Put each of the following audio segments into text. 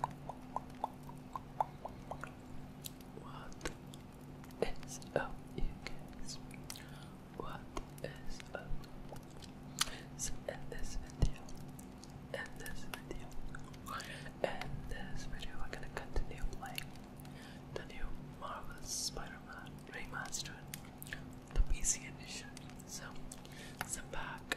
What is up, you What is up? So, in this video, in this video, in this video, we're gonna continue playing the new Marvel Spider Man Remastered, the PC edition. So, sit back,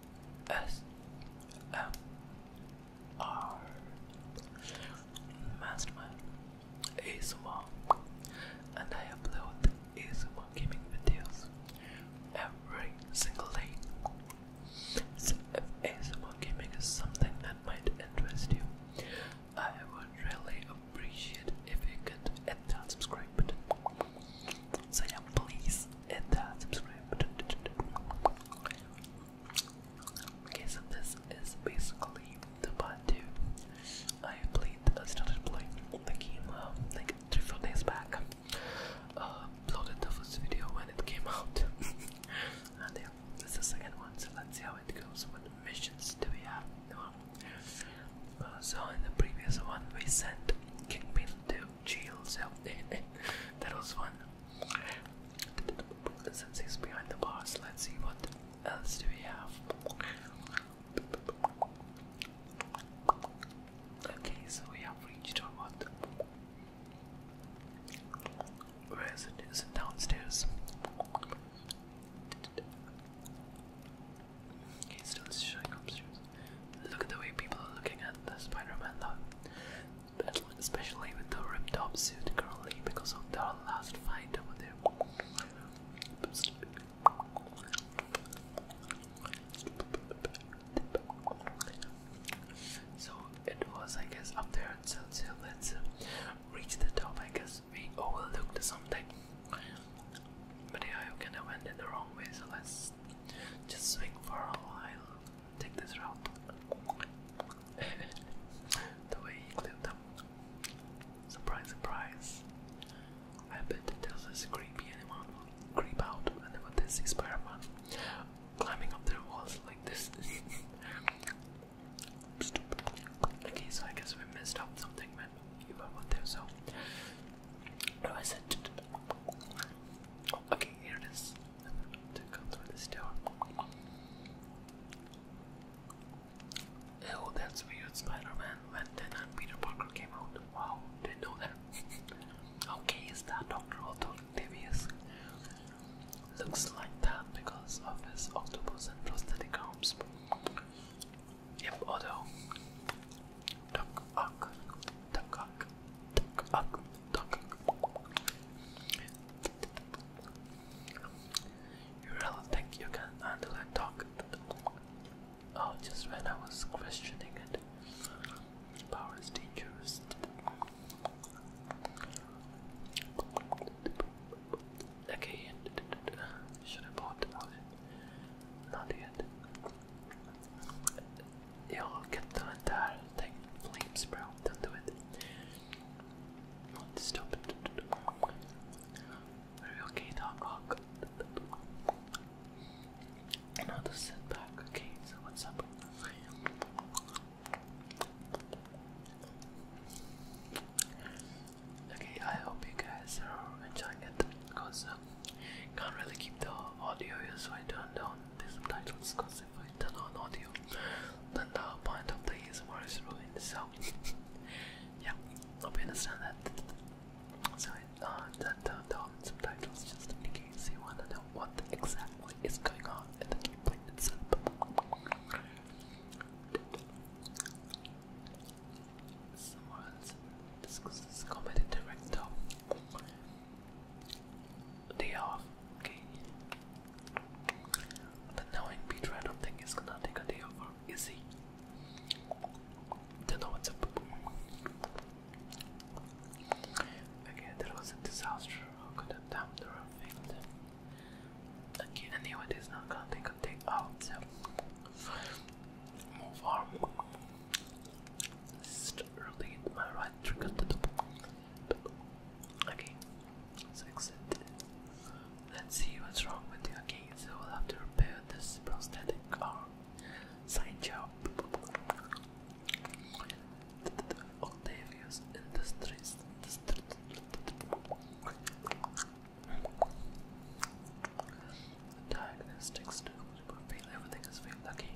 S M R Mastermind ASMR and I upload ASMR gaming videos every single day. If if ASMR gaming is something that might interest you, I would really appreciate if you could hit that subscribe button so yeah, please hit that subscribe. Okay, so this is basically the part two. I played, uh, started playing the game um, like three, four days back. Uh, the first video when it came out, and yeah, this is the second one. So let's see how it goes. What missions do we have? Uh, so in the previous one, we sent Kingpin to chills out there. that was fun. Since he's behind the bars, let's see what else do we have. Okay, so we have reached our what? Where is it? Is it downstairs? Okay, still showing upstairs. Look at the way people are looking at the Spider-Man though. Especially with the ripped up suit currently because of their last fight over there. So it was I guess up there until so, so let's uh, reach the top I guess we overlooked something. But yeah you kind of went in the wrong way so let's just swing for a while. Take this route. the way he clipped them. Surprise, surprise. I bet there's this creepy animal creep out whenever they see spider climbing up their walls like this. Okay, so I guess we messed up something, man. You were there, so I said Okay, here it to go through this door. Oh, that's weird. Spider-Man when in Peter Parker came out. Wow, didn't know that. okay, is that Doctor Octavius? Looks like that because of his octopus and prosthetic arms. Yep, although duck, You really think you can handle a duck? Oh, just when I was questioning it. Power is dangerous. Okay, should I bought Not yet. You'll get the entire thing flames, bro. Don't do it. Stop okay, dog? Walk. Oh, i just sit back. Okay, so what's up? Okay, I hope you guys are enjoying it because I um, can't really keep the audio here, so I turned on the subtitles because if I turn on audio, then the point of the ASMR is ruined. So, yeah, hope you understand that. So, I uh, that turned on subtitles just in case you wanna know what exactly is going on in the gameplay itself. Someone else discusses comedy director day off, okay? The knowing Peter, I don't think he's gonna take a day off, is he? Don't know what's up. Okay, that was a disaster. How could a damn have failed Okay, anyway, it is not gonna take a day off, move on let's see what's wrong with you. Okay, so we'll have to repair this prosthetic arm. Sign job. Octavius Industries. Diagnostics. Everything is failed. Okay.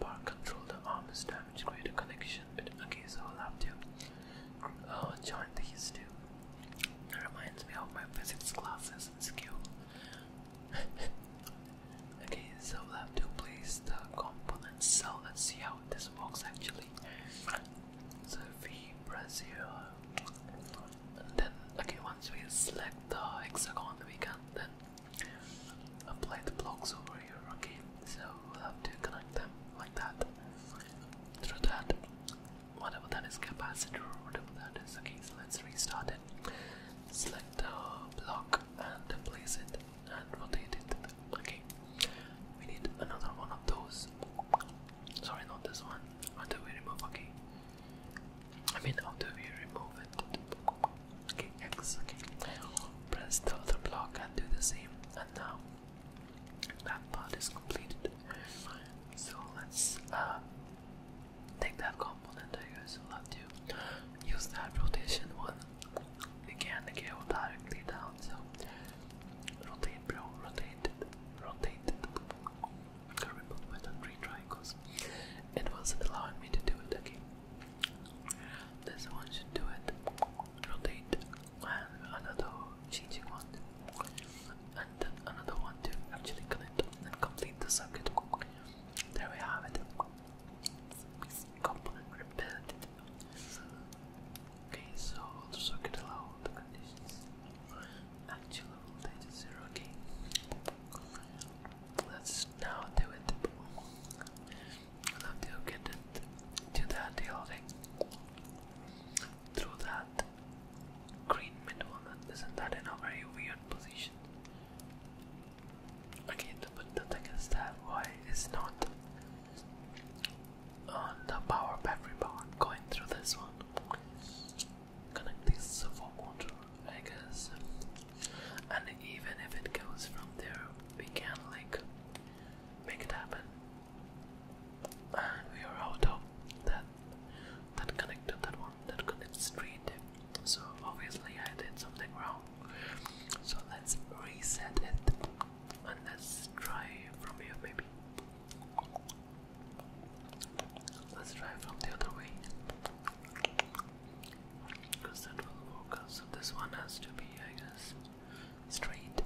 Park controlled the is damaged. create a connection Okay, so I'll have to uh, join these two. It reminds me of my physics classes in school. okay, so we'll have to place the component cell. Let's see how this works actually. So if we press here, and then okay, once we select the hexagon, we can then apply the blocks over here, okay? So we'll have to connect them like that through that, whatever that is, capacitor whatever that is. Okay, so let's restart it. Select the block and place it and rotate it. Okay, we need another one of those. Sorry, not this one. Until we remove, okay. I mean, how do we remove it, okay, X, okay, press the other block and do the same. And now that part is completed. So let's uh, take that component. I guess we'll have to use that rotation one. again to not go directly down, so rotate, bro, rotate, rotate. I can't three triangles. It wasn't allowing me to do it again. This one should do it. Rotate and another changing one, and then another one to actually connect and complete the circuit. There we have it. Component repeated. Okay, so the circuit allow the conditions. Actual voltage is zero. Okay. Let's now do it. Now to get it to that building through that green mid one. Isn't that in a very weird position? Again, but the thing is is not on the power battery bar going through this one? Connect these servo motor I And even if it goes from there, we can like make it happen. And we are out of that that connected that one that connected street. So obviously I did something wrong. So let's reset it and let's try from here maybe. Let's try from the other way because that will work So this one has to be, I guess, straight,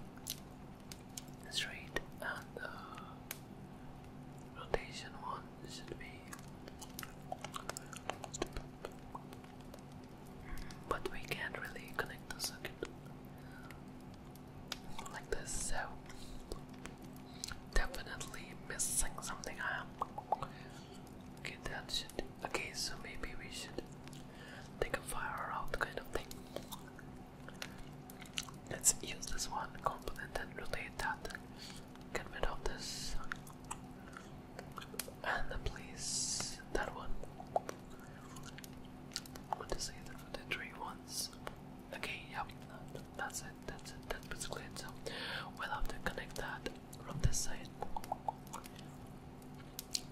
straight, and the uh, rotation one should be. But we can't really connect the like this, so definitely missing something. Okay, that's it. Okay, so maybe we should take a fire out kind of thing. Let's use this one component and rotate that. Get rid of this. And place that one. What is it? The three ones. Okay, yeah, that's it. That's it. That's basically it. So we'll have to connect that from this side. Okay,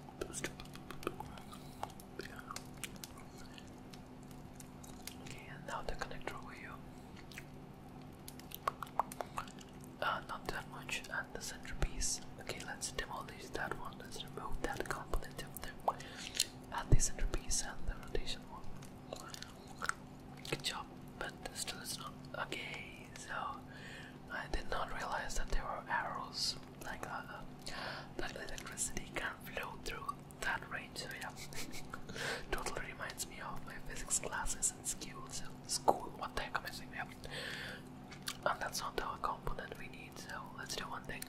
and now the connector wheel. Uh, not that much, and the centerpiece. Okay, let's demolish that one. Let's remove that component of the and uh, the centerpiece and the rotation one. Good job, but still it's not okay. So I did not realize that there were arrows like uh, uh, that. electricity can flow through that range, so yeah. totally reminds me of my physics classes and skills in school, what the heck am I saying? Yeah. And that's not our component we need, so let's do one thing.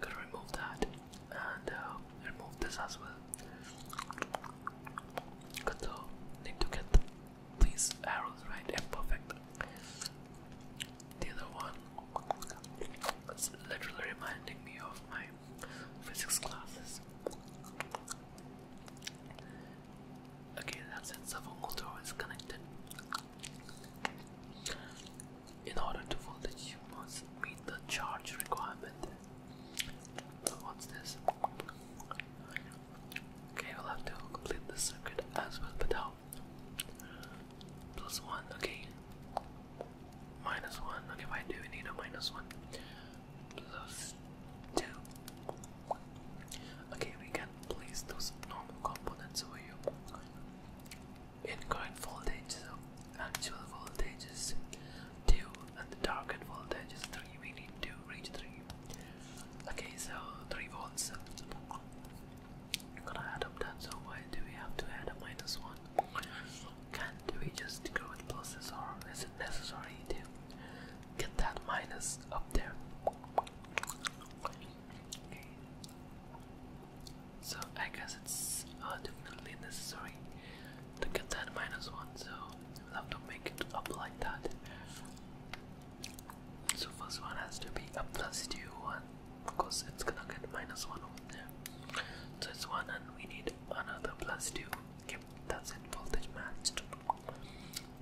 Gotta remove that and uh, remove this as well. Good, so need to get these arrows right and perfect. The other one it's literally reminding me of my physics classes. Okay, that's it. Savongal door is connected. In order to voltage, you must meet the charge requirement. what's this? Okay, we'll have to complete the circuit as well, but how? Plus one, okay. Minus one, okay, I do we need a minus one? Plus two. Okay, we can place those normal components over here. In current voltage, so actual voltages, 2 and the target voltage is 3. We need 2 range 3. Okay, so 3 volts. I'm gonna add up that, so why do we have to add a minus 1? Can't we just go with pluses, is it necessary to get that minus up there? So I guess it's uh, definitely necessary to get that minus one, so we have to make it up like that. So first one has to be a plus two one because it's gonna get minus one over there. So it's one and we need another plus two. Yep, that's it, voltage matched.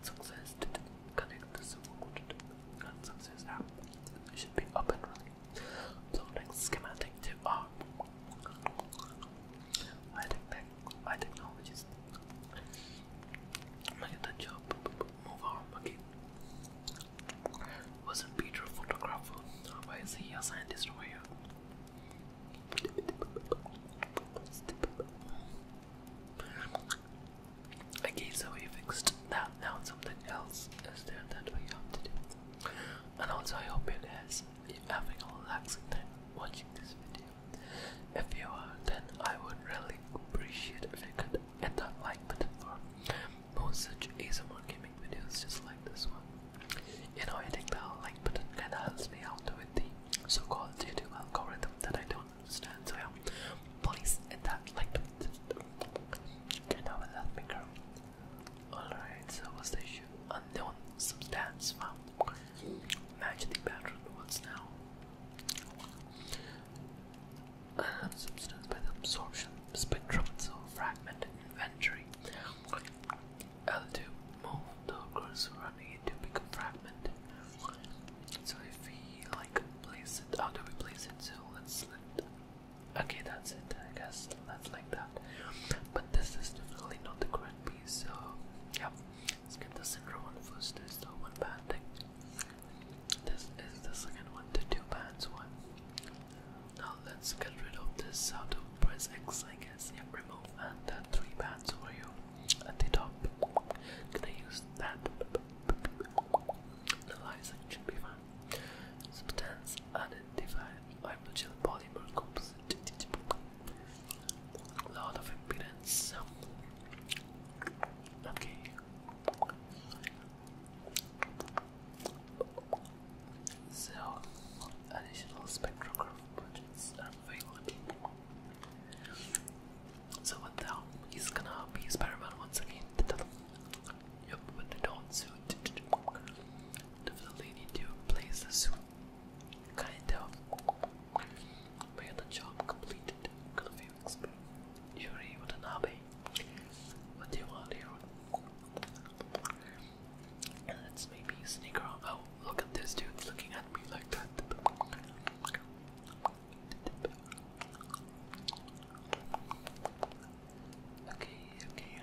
Success connect the support success app. should be up and running. Uploading to R. I think that I technologist. I'm gonna get that job. Move on, okay. Wasn't Peter a photographer? Why is he a scientist over here? Okay, so we fixed that. Now something else is there that we have to do. And also I hope it is you're having a relaxing time watching this video. If you are, then I would really appreciate if you could hit that like button for more such ASMR gaming videos just like this one. You know, hitting that like button kinda helps me out with the so called YouTube algorithm that I don't understand. So, yeah, please hit that like button. Get out with that micro. Alright, so what's the issue? Unknown substance found. Match the pattern. What's now? substance by the absorption spectrum, so fragmented inventory. L2 move the cursor running into big become fragmented. So if we like place it, how do we place it? So let's let. Okay, that's it. I guess that's like that. But this is definitely not the correct piece. So yep. Let's get the center one first. There's the one band This is the second one, to two bands one. Now let's get rid of this how to press X I guess. Yep, remove and that three bands for you at the top. Can I use that? The license should be fine. Substance identified. I will chill polymer composite. Lot of impedance. Okay. So, additional spectrograph budgets are available. So, what the gonna be Spider once again? Yep, with the down suit. Definitely need to place the suit. Kind of. May the job completed. Yuri Watanabe. What do you want here? Let's maybe sneak around. Oh, look at this dude looking at me like that. Okay, okay.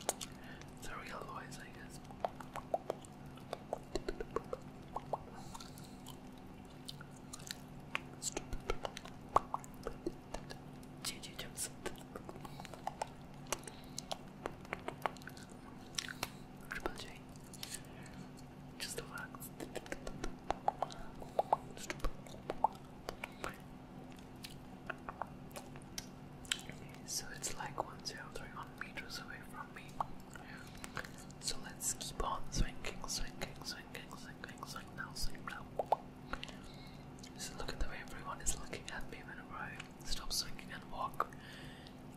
it's a real voice, I guess. Gigi Just the facts. So it's like 131 meters away from me. So let's keep on swinging, swinging, swinging, swinging, swing now, swing now. So look at the way everyone is looking at me whenever I stop swinging and walk.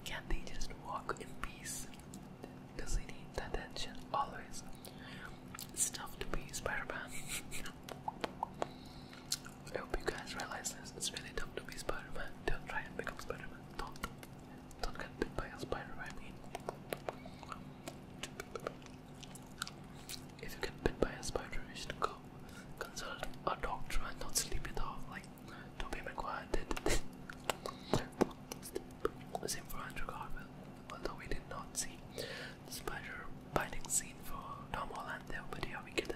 Can they just walk in peace? Does he need attention always? It's tough to be spider I hope you guys realize this. It's really dumb to be Spider Man. Don't try and become Spider Man. Don't, don't get bit by a spider, I mean. If you get bit by a spider, you should go consult a doctor and not sleep it off like Tobey Maguire did. Same for Andrew Garfield, although we did not see the spider biting scene for Tom Holland there, but here we get it.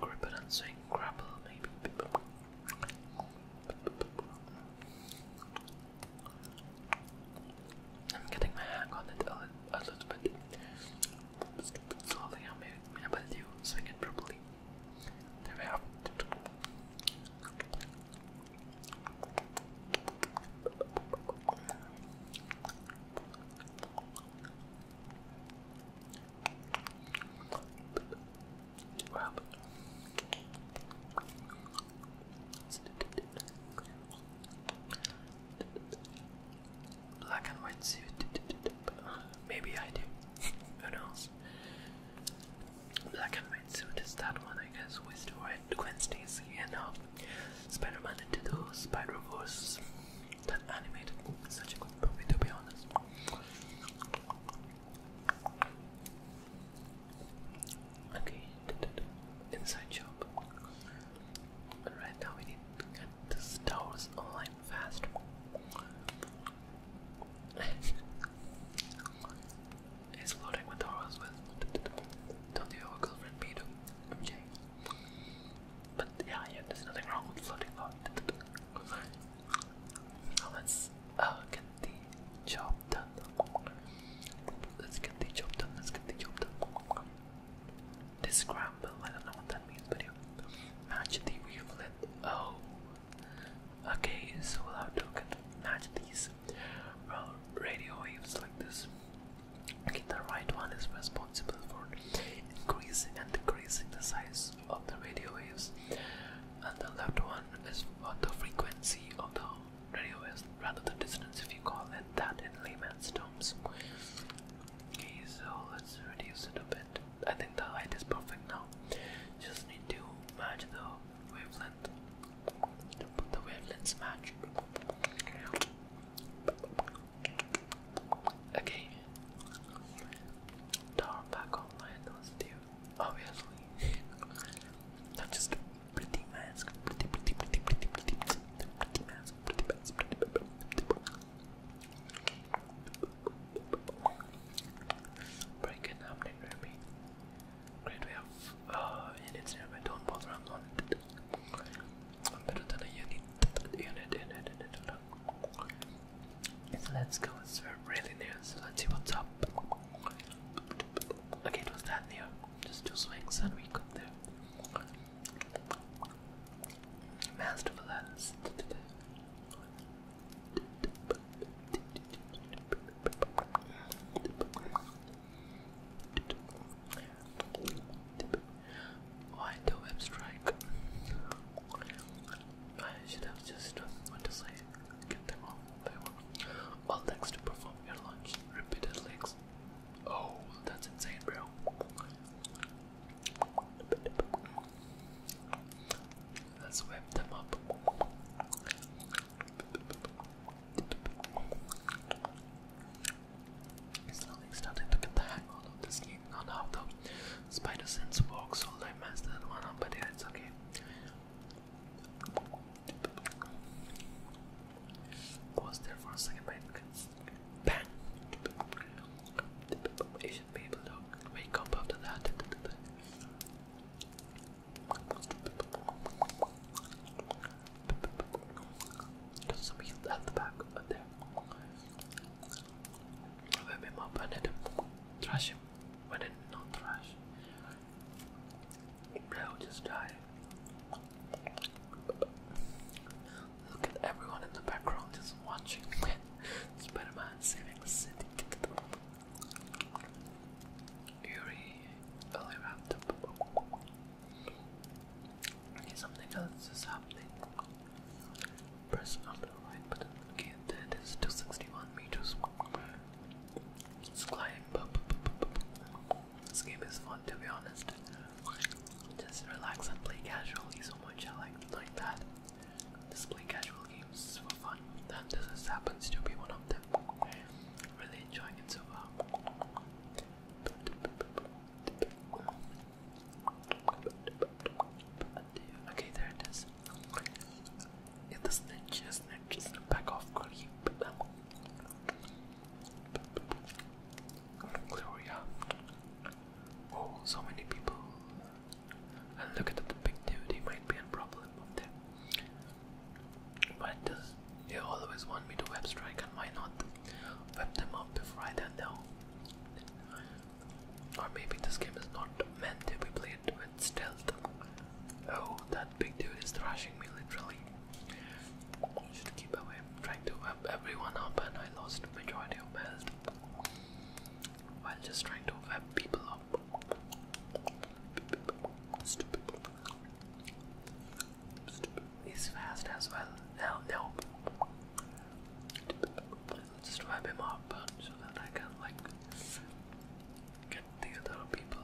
Grapple and swing, grapple, maybe. I'm getting my hang on it a, little bit. Slowly, I'm able to swing it properly. There we have Black and white suit. Maybe I do. Who knows? Black and white suit is that one, I guess, with the Gwen Stacy and uh, Spider-Man into the Spider-Verse that animated is such a good movie to be honest. Okay, inside job. Right now we need to get these towers online fast. He's flirting with our as Don't you have a girlfriend, Peter? MJ. But yeah, yeah, there's nothing wrong with flirting. Oh, let's oh, get the job done. Let's get the job done. Let's get the job done. This scramble, I don't know what that means, but you Match the wavelet. Oh. Okay, so we'll have to match these radio waves like this. Okay, the right one is responsible for increasing and decreasing the size of the radio waves, and the left one is what the frequency of the radio is, rather than distance, if you call it that in layman's terms. Okay, so let's reduce it a bit. I think the height is perfect now. Just need to match the wavelength. the wavelengths match. Okay, Tar back online was due, obviously. just pretty mask, pretty, pretty, pretty, pretty, pretty, pretty Great way of, uh, units nearby, don't bother, I'm not bother i i am better than a unit. So let's go. It's really new. So let's see what's up. Okay, it that near. Just two swings and we got there. Masterful Why do web strike? I should have just went to sleep. Get them off. They were. All thanks to perform your lunge. Repeated legs. Oh, that's insane, bro. Let's whip them up. It's starting to get the hang of this game. None of Spider sense works all I messed that one up, but yeah, it's okay. Pause there for a second, but bang! You should be able wake up after that. some heat at the back, but there. Web him I did not trash, they'll just die. Look at everyone in the background just watching Spider-Man saving the city. Yuri, early wrapped up. something else is happening press up the right button. Okay, that is 261 meters. Let's climb up. This game is fun to be honest. Just relax and play casually so much. I like like that. Just play casual games for fun. And this is, happens to be one of them. Really enjoying it so far. Okay, there it is snitches. It's the snitches, Back off, Gloria. Oh, so many people. And look at the big dude, he might be a problem up there. But uh, they always want me to web strike, and why not web them up before I don't or maybe this game is not meant to be played with stealth. Oh, that big dude is thrashing me literally. Should keep away. trying to web everyone up and I lost majority of health. While just trying to web people up. Stupid. Stupid. He's fast as well. Now, now. Just wrap him up so that I can like get the other people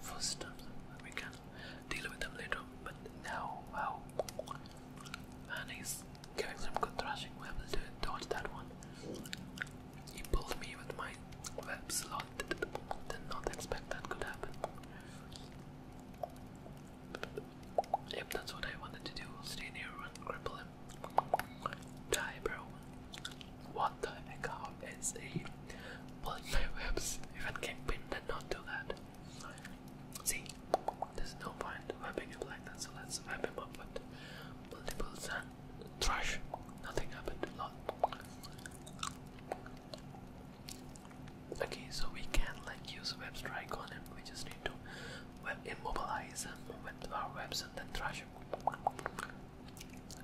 first and we can deal with them later. But now, wow. And he's giving some good thrashing. We to dodge that one. He pulled me with my webs a lot. Did not expect that could happen. Yep, that's what I wanted to do. Stay near one cripple Die, bro. What the heck? How is he pulling my webs? Even Kingpin did not do that. See, there's no point webbing him like that, so let's web him up with multiples and thrush. Nothing happened Okay, so we can like use a web strike on him. We just need to web immobilize with our webs and then thrash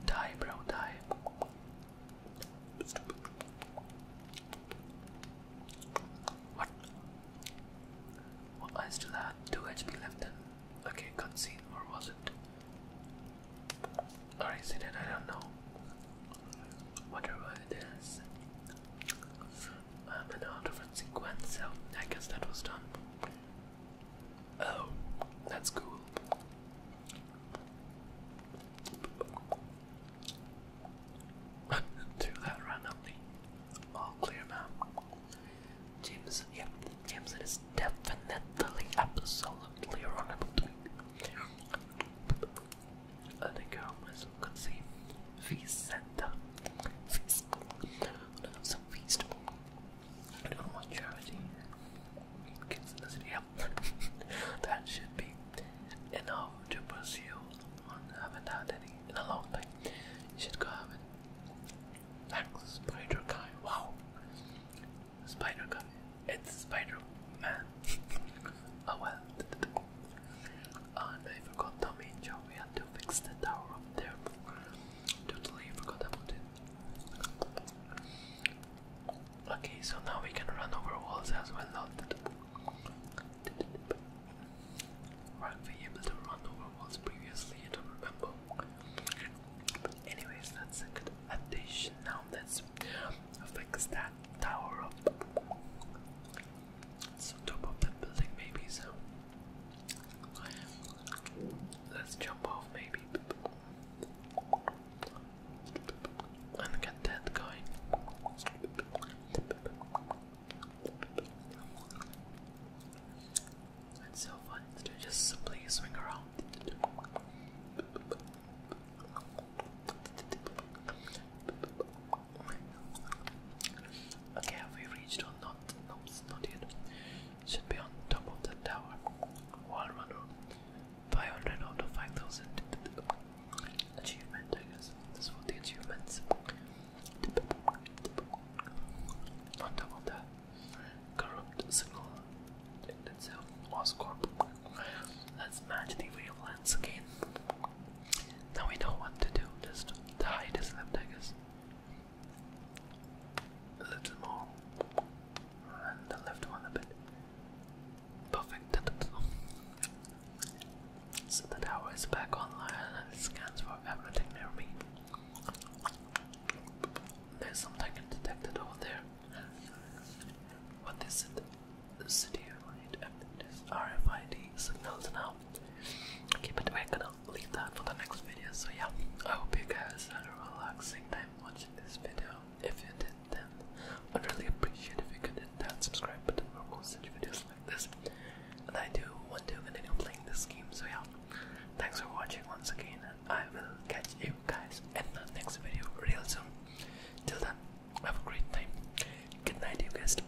Die, bro, die. What? Well, I still had 2 HP left then. Okay, cutscene, or was it? Or I don't know. Whatever it is um, uh, an artifact sequence, so I guess that was done. Oh, that's cool. Do that randomly. All clear now. Jameson, yeah, Jameson is definitely, absolutely wrong about me. I think I almost could Center. Feast. So some I don't want charity. Kids in the city, that should be enough to pursue one. haven't had any in a long time. should go have it. Thanks, Spider Guy. Wow. Spider Guy. It's Spider Man. oh well. And I forgot the main job. We to fix the tower up there. Totally forgot about it. Okay, so now we can run over walls as well, not were we able to run over walls previously, I don't remember. Anyways, that's a addition now. Let's fix that tower up. It's top of the building maybe so Let's jump off maybe. And get that going. It's so fun to just simply swing around. Okay, have we reached or not? Nope, not yet should be on top of the tower. Wall runner, 500 out of 5000. Achievement, I This for the achievements. On top of that, corrupt signal itself, Oscorp. Let's match the wavelengths again. Now we know what to do, just the height is left, a little more, and the left one a bit. Perfect. So the tower is back online and it scans for everything near me. There's something detected over there. What is it? The city unit. This RFID signals now. Keep it working i leave that for the next video. So yeah, I hope you guys had a relaxing time watching this video. If you did, then I'd really appreciate if you could hit that subscribe button for more such videos like this. And I do want to continue playing this game. So yeah, thanks for watching once again, and I will catch you guys in the next video real soon. Till then, have a great time. Good night, you guys.